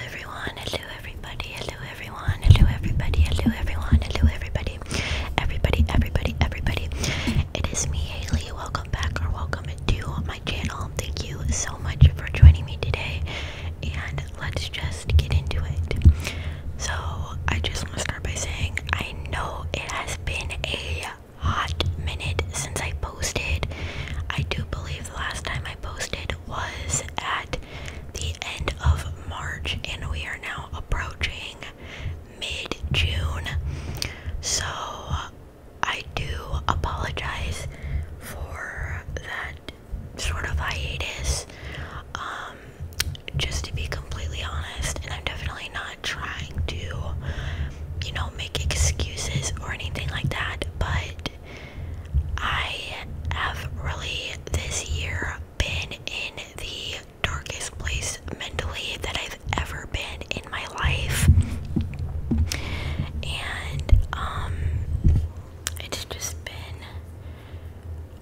everyone, hello everybody, hello everyone, hello everybody, hello everyone, hello everybody, everybody, everybody, everybody. It is me, Haley. Welcome back or welcome to my channel. Thank you so much for joining me today, and let's just get into it. So, I just want to start by saying I know it has been a hot minute since I posted. I do believe the last time I posted was at the end of March, and we are now approaching mid June. So I do apologize for that sort of hiatus. Um, just to be completely honest, and I'm definitely not trying to, you know, make excuses or anything like that, but I have really this year been in the darkest place mentally that I've ever been in my life. And um it's just been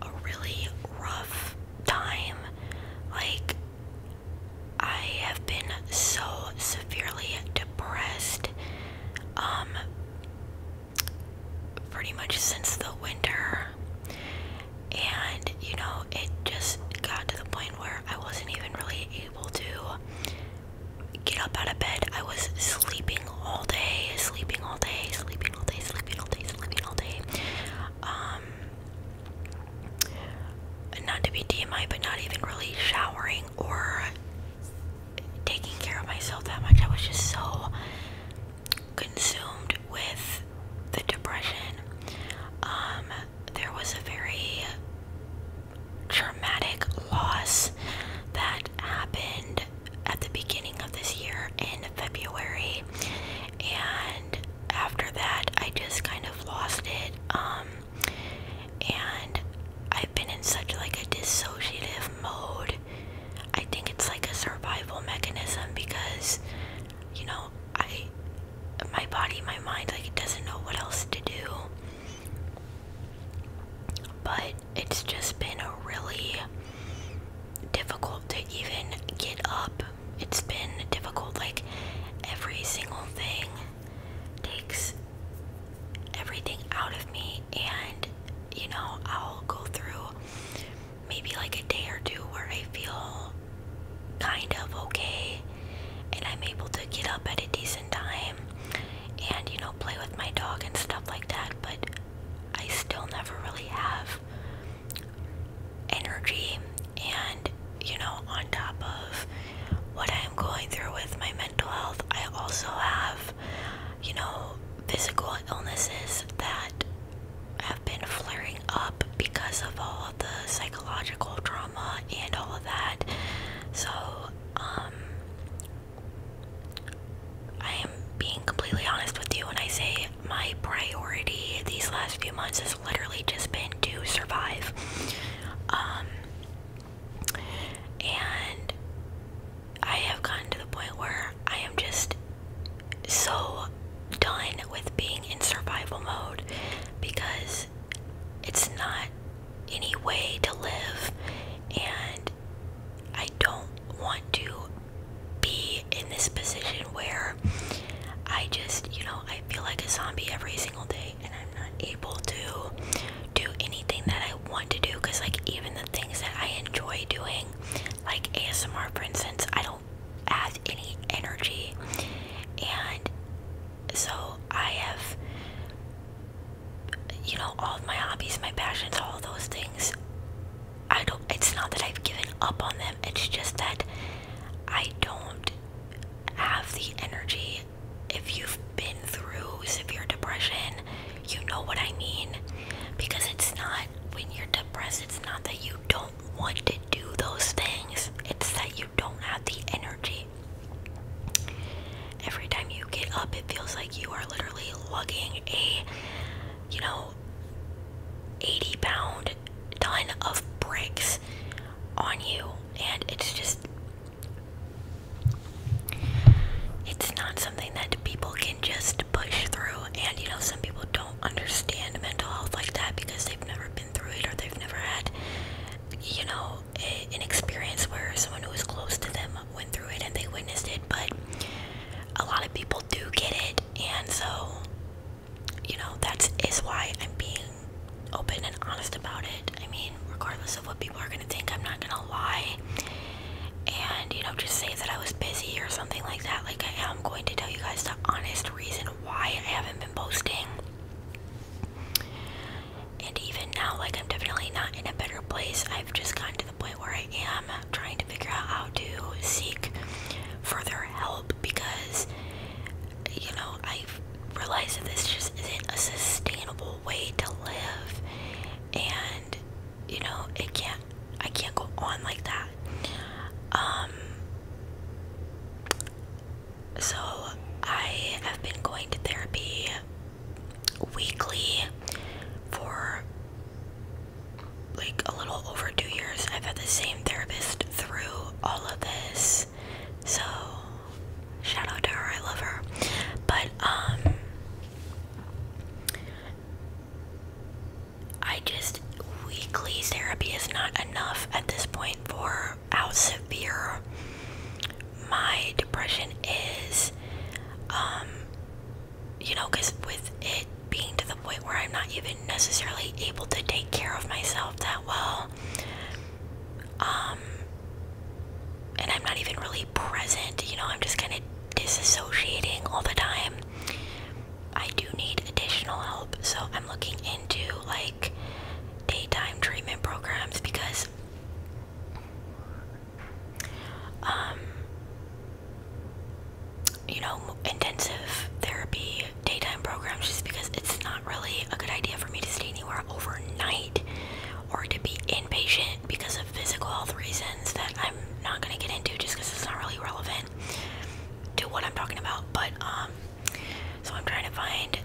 a really rough time. Like I have been so severely depressed. Um pretty much since the winter. And you know, it just got to the point where I wasn't even really able to get up out of bed. I was sleeping all day, sleeping all day, sleeping all day, sleeping all day, sleeping all day. Um, not to be DMI, but not even really showering or taking care of myself that much. I was just so consumed with the depression. Um, there was a very traumatic loss that happened at the beginning of this year in February, and after that, I just kind of lost it. Um, and I've been in such like a dissociative mode. I think it's like a survival mechanism because you know, I my body, my mind like it doesn't know what else to do. But it's just been a really difficult to even get up. It's been difficult like every single thing takes everything out of me and you know I'll go through maybe like a day or two where I feel kind of okay and I'm able to get up at a decent time and you know play with my dog and stuff like that but I still never really have energy and you know on top of what I'm going through with my mental health, I also have, you know, physical illnesses that have been flaring up because of all of the psychological trauma and all of that. So, um, I am being completely honest with you when I say my priority these last few months has literally just been to survive. Um, and I have gotten to the point where I am just so done with being in survival mode because it's not any way to live and I don't want to be in this position where I just, you know, I feel like a zombie every single day and I'm not able to do anything that I want to do because like even the things that I enjoy doing, like ASMR for instance, I don't have any energy and so I have you know all of my hobbies, my passions, all those things I don't it's not that I've given up on them, it's just that I don't have the energy if you've been through severe depression, you know what I mean. Because it's not when you're depressed, it's not that you don't want to do those things, it's that you don't have the energy. Every time you get up, it feels like you are literally lugging a, you know, 80 pound ton of bricks on you, and it's just it's not something that people can just push through, and you know, some people don't understand mental health like that because they've never been through it or they've never had, you know, an experience where someone who was close to them went through it and they witnessed it. But a lot of people do get it, and so, you know, that is why I'm being open and honest about it. I mean, regardless of what people people are gonna think I'm not gonna lie and you know just say that I was busy or something like that like I am going to tell you guys the honest reason why I haven't been posting and even now like I'm definitely not in a better place I've just gotten to the point where I am trying to figure out how to seek further help because you know i realize that this just isn't a sustainable way to live and you know it can't I can't go on like that um, so I have been going to therapy weekly for like a little over two years. I've had the same therapist through all of this. So Shout out to her, I love her. But um I just weekly therapy is not enough at this point for how severe my depression is. Um you know, because with it being to the point where I'm not even necessarily able to take care of myself that well, um, and I'm not even really present, you know, I'm just kind of disassociating all the time. I do need additional help, so I'm looking into like daytime treatment programs because um you know, intensive therapy daytime programs just because it's not really a good idea for me to stay anywhere overnight or to be inpatient because of physical health reasons that I'm not going to get into just because it's not really relevant to what I'm talking about. But, um, so I'm trying to find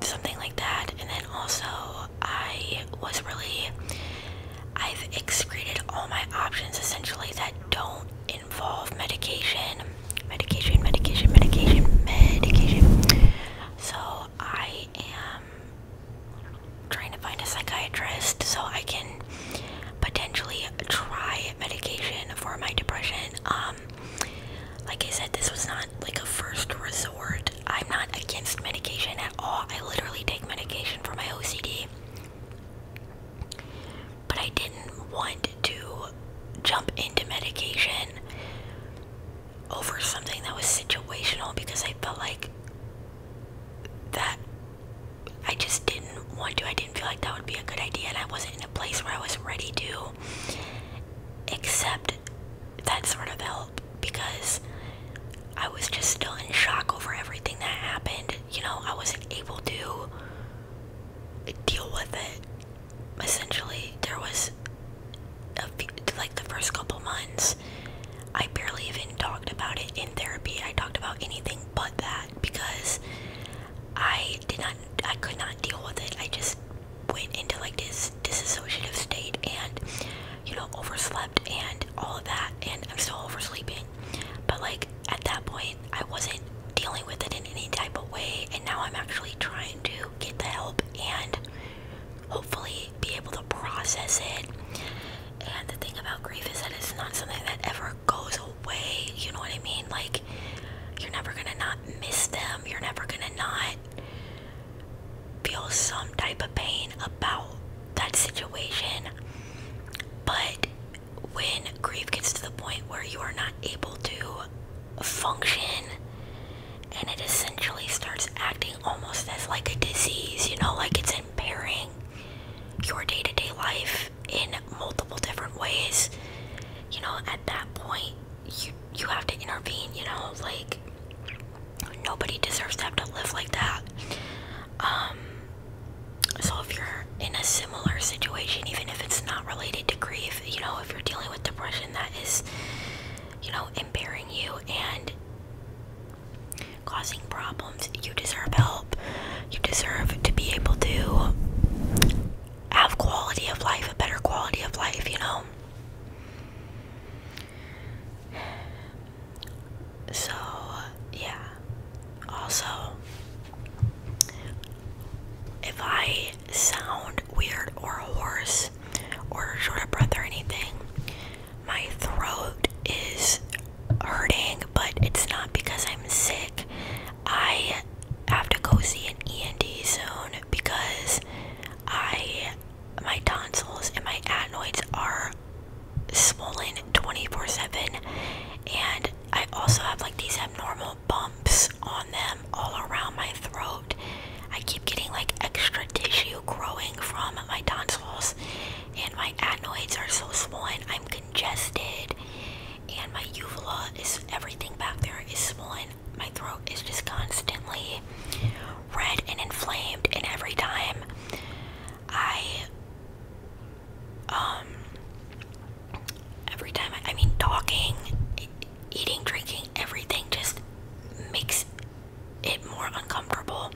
something like that. And then also, I was really, I've excreted all my options essentially that don't involve medication. Medication, medication, medication, medication. So I am trying to find a psychiatrist so I can potentially try medication for my depression. Um, like I said, this was not like a first resort. I'm not against medication at all. I literally take medication for my OCD. But I didn't want to jump into medication over something that was situational because I felt like that I just didn't want to. I didn't feel like that would be a good idea, and I wasn't in a place where I was ready to accept that sort of help because I was just still in shock over everything that happened. You know, I wasn't able to deal with it. Essentially, there was like the first couple months, I barely even talked about it in therapy. I talked about anything but that because I did not, I could not deal with it. I just went into like this disassociative state and, you know, overslept and all of that. And I'm still oversleeping. But like at that point, I wasn't dealing with it in any type of way. And now I'm actually trying to get the help and hopefully be able to process it. And the thing about grief is that it's not something that ever goes away. You know what I mean? Like, you're never gonna not miss them. You're never gonna not feel some type of pain about that situation. But when grief gets to the point where you are not able to function and it essentially starts acting almost as like a disease, you know, like it's impairing your day to day life in multiple different ways. You know, at that point, you, you have to intervene, you know, like nobody deserves to have to live like that. Um, so if you're in a similar situation, even if it's not related to grief, you know, if you're dealing with depression, that is you know, impairing you and causing problems. You deserve help. You deserve to be able to have quality of life, a better quality of life, you know. So, yeah. Also, if I sound weird or hoarse, or short of breath or anything. My throat is hurting, but it's not because I'm sick. I have to go see an ENT soon because I my tonsils and my adenoids are swollen 24/7 and I also have like these abnormal bumps on them all around my throat I keep getting like extra tissue growing from my tonsils, and my adenoids are so swollen. I'm congested, and my uvula is everything back there is swollen. My throat is just constantly red and inflamed, and every time I, um, every time I mean, talking, eating, drinking, everything just makes it more uncomfortable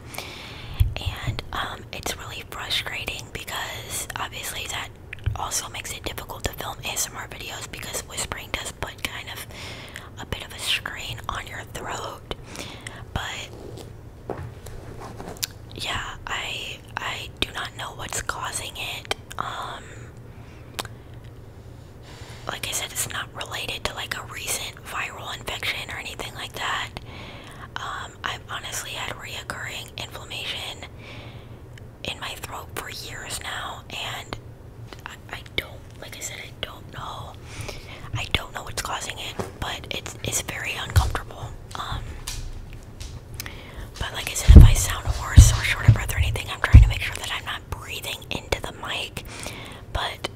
and um, it's really frustrating because obviously that also makes it difficult to film ASMR videos because whispering does put kind of a bit of a strain on your throat but yeah I I do not know what's causing it um, like I said, it's not related to like a recent viral infection or anything like that. Um, I've honestly had reoccurring inflammation in my throat for years now, and I, don't, like I said, I don't know. I don't know what's causing it, but it's it's very uncomfortable. Um, but like I said, if I sound worse or short of breath or anything, I'm trying to make sure that I'm not breathing into the mic, but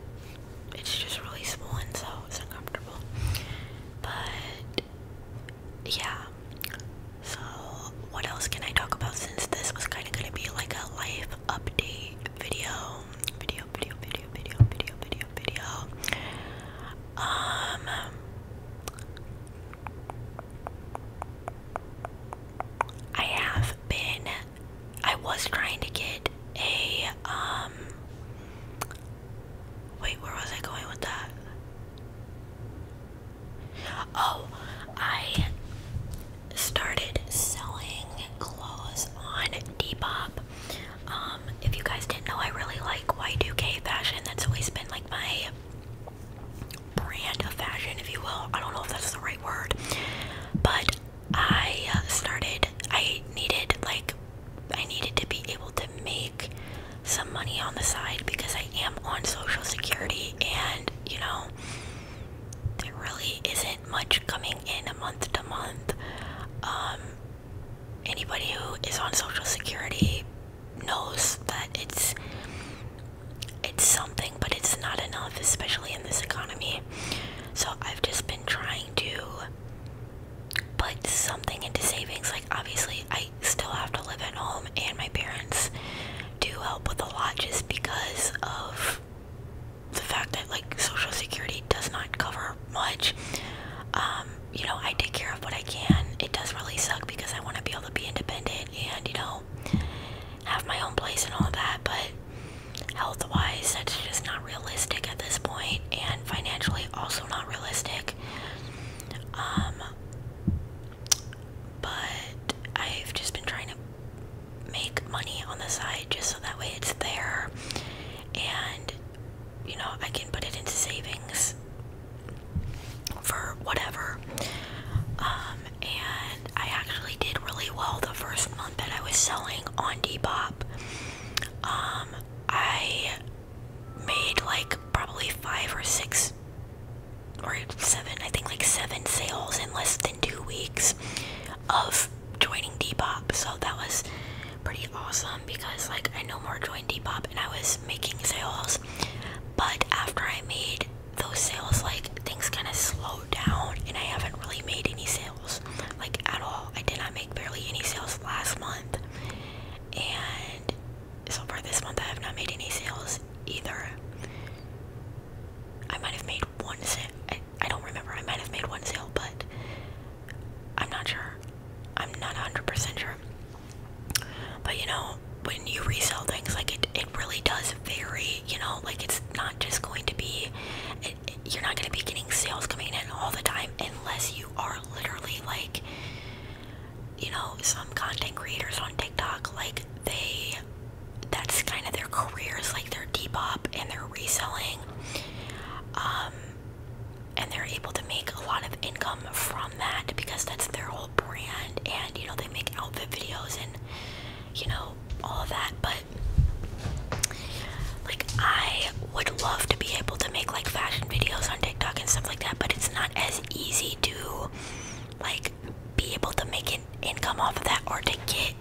it's just really small and so it's uncomfortable. But yeah. So what else can I talk about since this was kinda gonna be like a life update video? Video, video, video, video, video, video, video. Um I have been I was trying to get a um wait, where was I going with that? Oh, I started selling clothes on Depop. Um, if you guys didn't know, I really like Y2K fashion. That's always been like my brand of fashion, if you will. I don't know if that's the right word, but I uh, started, I needed, like, I needed to be able to make some money on the side because I am on Social Security and, you know, there really isn't much coming in month to month. Um, anybody who is on Social Security knows that it's it's something, but it's not enough, especially in this economy. So I've just been trying to put something into savings. Like, obviously, I still have to live at home, and my parents do help with a lot just because of the fact that, like, Social Security does not cover much. Um, you know, I take care of what I can. It does really suck because I want to be able to be independent and, you know, have my own place and all that, but health wise, that's just not realistic at this point, and financially, also not realistic. Um, but I've just been trying to make money on the side just so that way it's there and you know I can put it into savings for whatever. Um, and I actually did really well the first month that I was selling on Depop. Um, I made like probably five or six or seven, I think like seven sales in less than two weeks of joining Depop. So that was pretty awesome because like I no more joined Depop and I was making sales. But after I made those sales like things kind of slowed down and I haven't really made any sales like at all. I did not make barely any sales last month and so far this month I have not made any sales either. I might have made one sale. I, don't remember. I might have made one sale, but I'm not sure. I'm not 100% sure. But you know, when you resell things, like it, it really does vary you know like it's not just going to be you're not going to be getting sales coming in all the time unless you are literally like you know some content creators on tiktok like they that's kind of their careers like they're depop and they're reselling um and they're able to make a lot of income from that because that's their whole brand and you know they make outfit videos and you know, all of that, but like I would love to be able to make like fashion videos on TikTok and stuff like that, but it's not as easy to like be able to make an income off of that or to get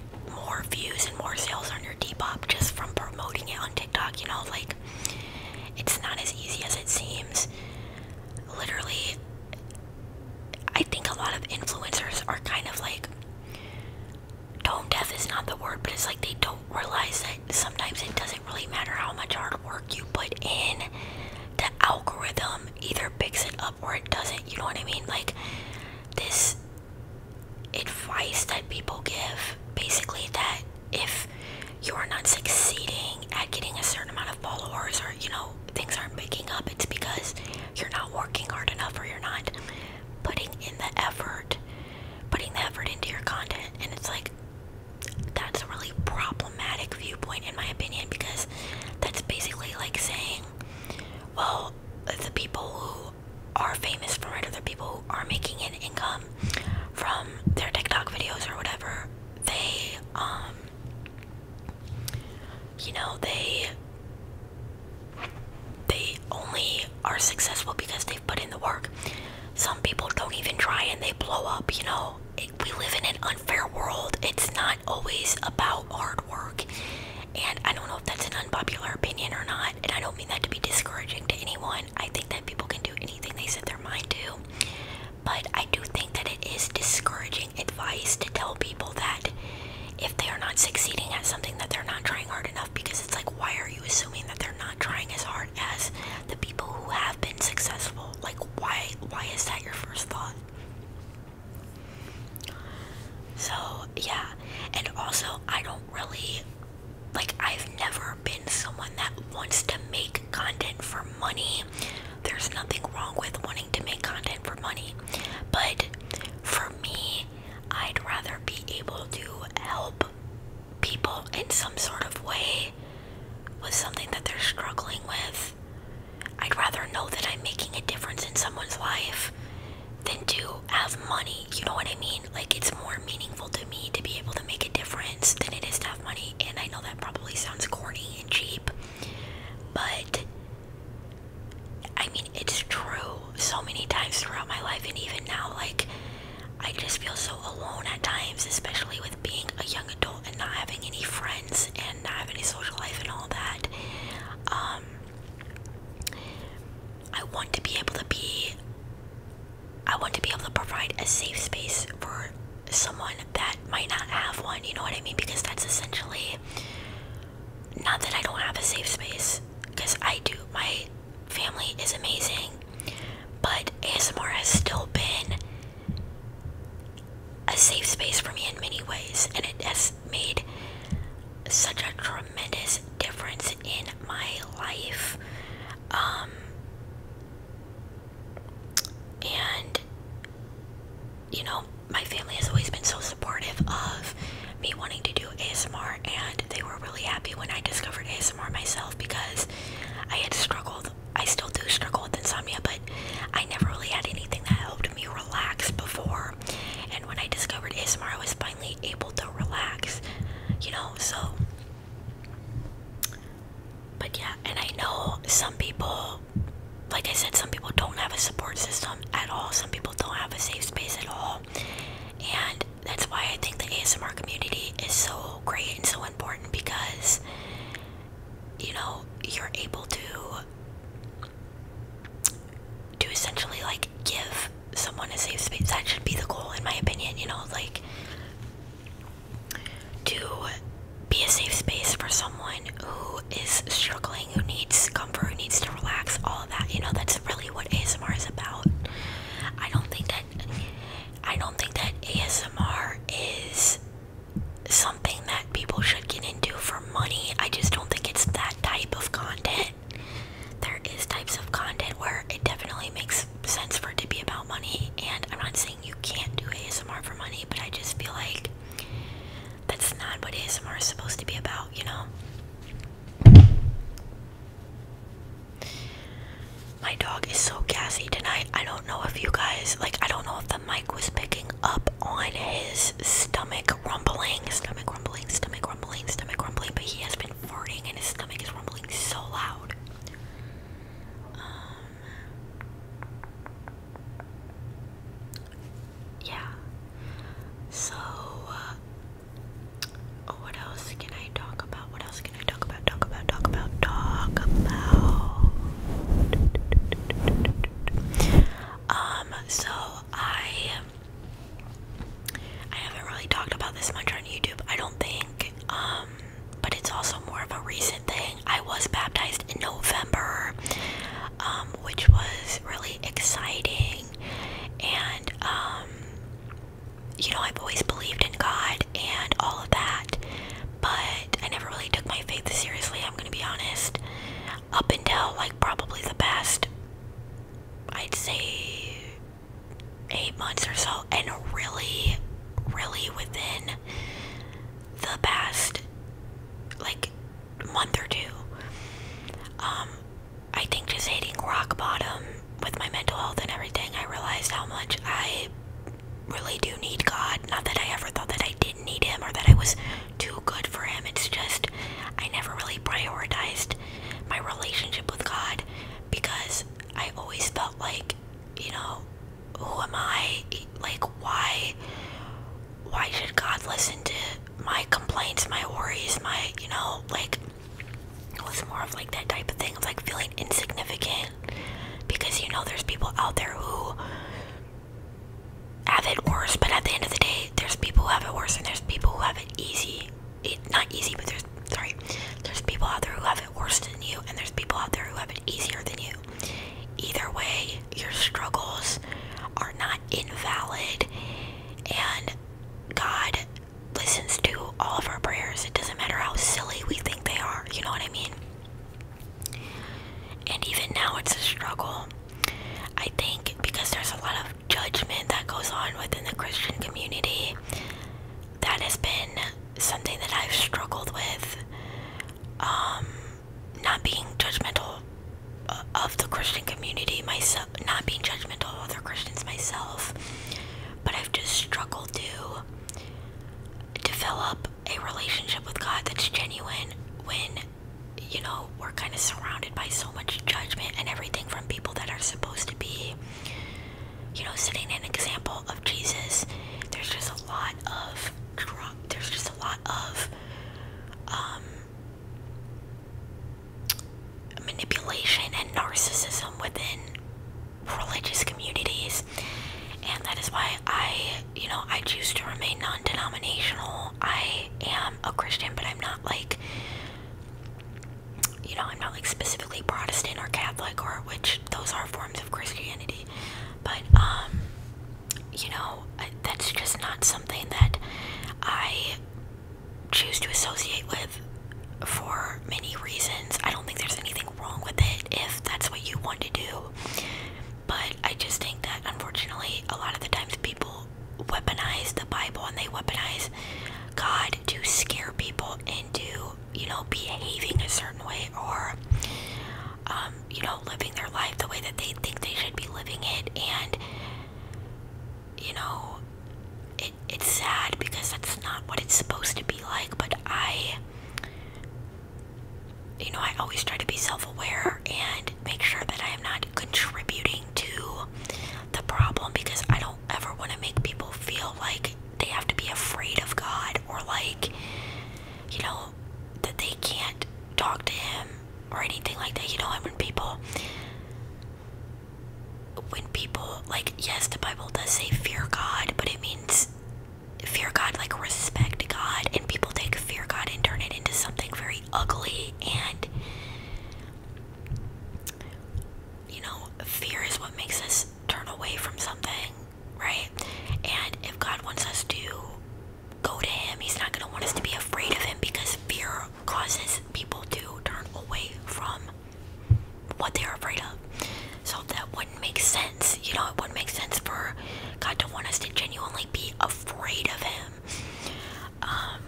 more views and more sales on your Depop just from promoting it on TikTok, you know, like it's not as easy as it seems. Literally I think a lot of influencers are kind of like tone death is not the word, but it's like they don't realize that sometimes it doesn't really matter how much hard work you put in. The algorithm either picks it up or it doesn't. You know what I mean? Like this advice that people give basically that if you are not succeeding at getting a certain amount of followers or you know things aren't picking up it's because you're not working hard enough or you're not putting in the effort, putting the effort into your content. And it's like, that's a really problematic viewpoint, in my opinion, because that's basically like saying, well, the people who are famous for it, or the people who are making an income from their TikTok videos or whatever, they, um, you know they they only are successful because they've put in the work. Some people don't even try and they blow up, you know. we live in an unfair world. It's not always about hard work. And I don't know if that's an unpopular opinion or not. And I don't mean that to be discouraging to anyone. I think that people can do anything they set their mind to. But I do think that it is discouraging advice to tell people that if they are not succeeding at something that they're not trying hard enough because it's like why are you assuming that they're not trying as hard as the people who have been successful like why why is that your first thought so yeah and also i don't really like i've never been someone that wants to make content for money there's nothing wrong with wanting to make content for money, but for me, I'd rather be able to help people in some sort of way with something that they're struggling with. I'd rather know that I'm making a difference in someone's life than to have money. You know what I mean? Like, it's more meaningful to me to be able to make a difference than it is to have money. And I know that probably sounds corny and cheap, but I mean, it's true so many times throughout my life, and even now, like, I just feel so alone at times, especially with being a young adult and not having any friends and not having any social life and all that. Um, I want to be able to be, I want to be able to provide a safe space for someone that might not have one, you know what I mean? Because that's essentially not that I don't have a safe space, because I do. My family is amazing, but ASMR has still been a safe space for me in many ways, and it has made such a tremendous difference in my life. Um, and you know, my family has always been so supportive of me wanting to do ASMR, and they were really happy when I discovered ASMR myself because I had struggled. I still do struggle with insomnia, but I never really had anything that helped me relax before. And when I discovered ASMR, I was finally able to relax, you know, so. But yeah, and I know some people like I said, some people don't have a support system at all. Some people don't have a safe space at all. And that's why I think the ASMR community is so great and so important because, you know, you're able to to essentially like give someone a safe space. That should be the goal in my opinion, you know, like to be a safe space for someone who is struggling, who needs comfort, who needs to relax, all of that. You know, that's really what ASMR is about. I don't think that I don't think that ASMR is something that people should get into for money. I just don't think it's that type of content. There is types of content where it definitely makes sense for it to be about money and I'm not saying you can't do ASMR for money, but I just feel like that's not what ASMR is supposed to be about, you know? My dog is so gassy tonight. I don't know if you guys, like, I don't know if the mic was picking up on his stomach rumbling, stomach rumbling, stomach rumbling, stomach rumbling, but he has been farting and his stomach is rumbling so loud. Um, yeah. So, uh, what else can I talk about? What else can I talk about? Talk about, talk about, talk about. Um, so I. I haven't really talked about this much on YouTube, I don't think. Um, but it's also more of a recent thing. I was baptized in November, um, which was really exciting. And, um, you know, I've always believed in God and all of that, but I never really took my faith seriously, I'm gonna be honest. Up until, like, probably the past, I'd say, eight months or so, and really, really within the past, like, month or two. Um, I think just hitting rock bottom with my mental health and everything, I realized how much I really do need God. Not that I ever thought that I didn't need Him or that I was too good for Him. It's just I never really prioritized my relationship with God because I always felt like, you know, who am I? Like, why? why should God listen to my complaints, my worries, my, you know, like, it was more of like that type of thing of like feeling insignificant because you know there's people out there who have it worse, but at the end of the day, there's people who have it worse and there's people who have it easy. It, not easy, but there's, sorry, there's people out there who have it worse than you and there's people out there who have it easier than you. Either way, your struggles are not invalid, and God listens to all of our prayers. It doesn't matter how silly we think they are, you know what I mean? And even now, it's a struggle. I think because there's a lot of judgment that goes on within the Christian community, that has been something that I've struggled with. Um, not being judgmental uh, of the Christian community myself, not being judgmental of other Christians myself, but I've just struggled to develop a relationship with God that's genuine when, you know, we're kind of surrounded by so much judgment and everything from people that are supposed to be, you know, setting an example of Jesus. There's just a lot of, there's just a lot of um, manipulation and narcissism within religious communities, and that is why I, you know, I choose to remain non denominational. I am a Christian, but I'm not like, you know, I'm not like specifically Protestant or Catholic, or which those are forms of Christianity but um, you know that's just not something that I choose to associate with for many reasons. I don't think there's anything wrong with it if that's what you want to do. But I just think that unfortunately, a lot of the times people weaponize the Bible and they weaponize God to scare people into, you know, behaving a certain way or um, you know, living their life the way that they think they should be living it. And, you know, it, it's sad because that's not what it's supposed to be like. But I, you know, I always try to be self aware and make sure that I am not contributing to the problem because I don't ever want to make people feel like they have to be afraid of God or like you know, that they can't talk to him or anything like that. You know, when people, when people, like, yes, the Bible does say fear God, but it means fear God, like respect God, and people take fear God and turn it into something very ugly and. You know, fear is what makes us turn away from something, right? And if God wants us to go to him. He's not going to want us to be afraid of him because fear causes people to turn away from what they are afraid of. So that wouldn't make sense. You know, it wouldn't make sense for God to want us to genuinely be afraid of him. Um,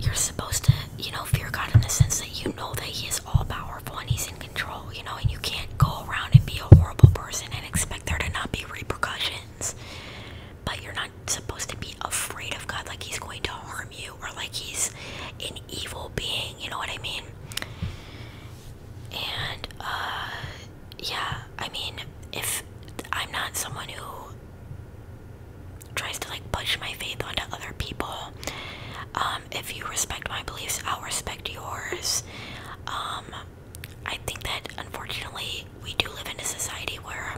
you're supposed to, you know, fear God in the sense that you know that He is all powerful and He's in control, you know, and you can't go around and be a horrible person and expect there to not be repercussions. But you're not supposed to be afraid of God like he's going to harm you or like he's an evil being, you know what I mean? And, uh, yeah, I mean, if I'm not someone who tries to like push my faith onto other people, um, um, if you respect my beliefs, I'll respect yours. Um, I think that unfortunately we do live in a society where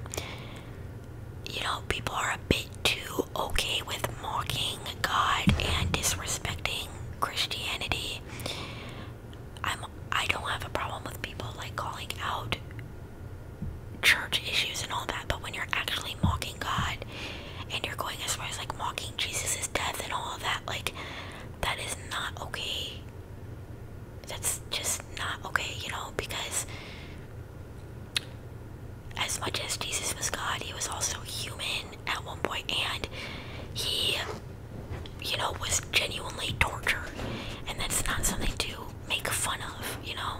you know people are a bit too okay with mocking God and disrespecting Christianity. I'm I don't have a problem with people like calling out church issues and all that, but when you're actually mocking God and you're going as far as like mocking Jesus' death and all that, like that is not okay. That's just not okay, you know, because as much as Jesus was God, he was also human at one point and he you know was genuinely tortured and that's not something to make fun of, you know.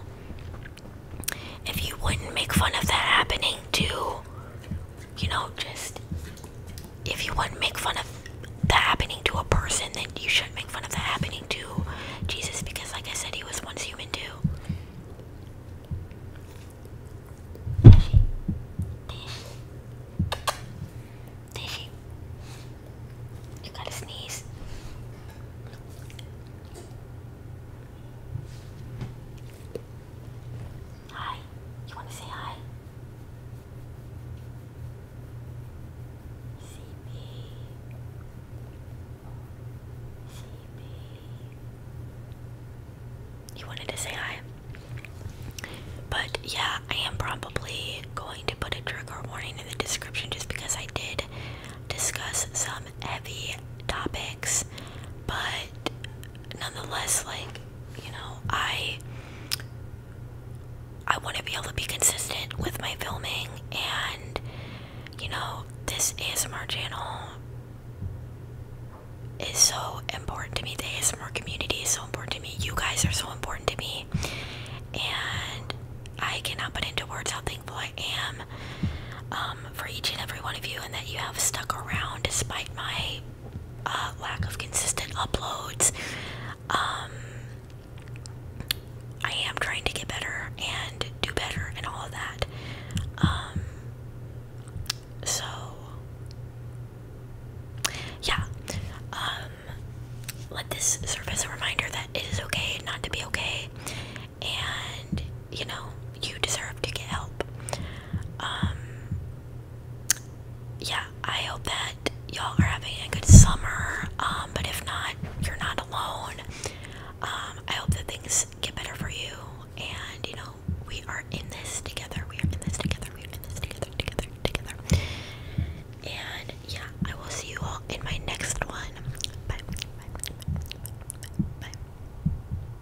If you wouldn't make fun of that happening to you know, just if you want to make fun of the happening to a person, then you should make fun of the happening to Jesus because, like I said, he was once human too. Did she? Did she? You gotta sneeze. Hi. You want to say hi? CB. CB. You wanted to say hi? But yeah, I am probably going to put a trigger warning in the description just because I did discuss some heavy topics, but nonetheless, like, you know, I I want to be able to be consistent with my filming and you know, this ASMR channel is so important to me. The ASMR community is so important to me. You guys are so important to me. And I cannot put into words how thankful I am um, for each and every one of you and that you have stuck around despite my lack of consistent uploads. Um, I am trying to get better and do better and all of that. Um, so, yeah. Um, let this serve as a reminder that it is okay not to be okay. And you know, you deserve to get help. Um, yeah, I hope that y'all are having a good summer. Um, but if not, you're not alone. Um, I hope that things get better for you. And, you know, we are in this together. We are in this together. We are in this together, together, together. And, yeah, I will see you all in my next one. Bye. Bye. Bye. Bye.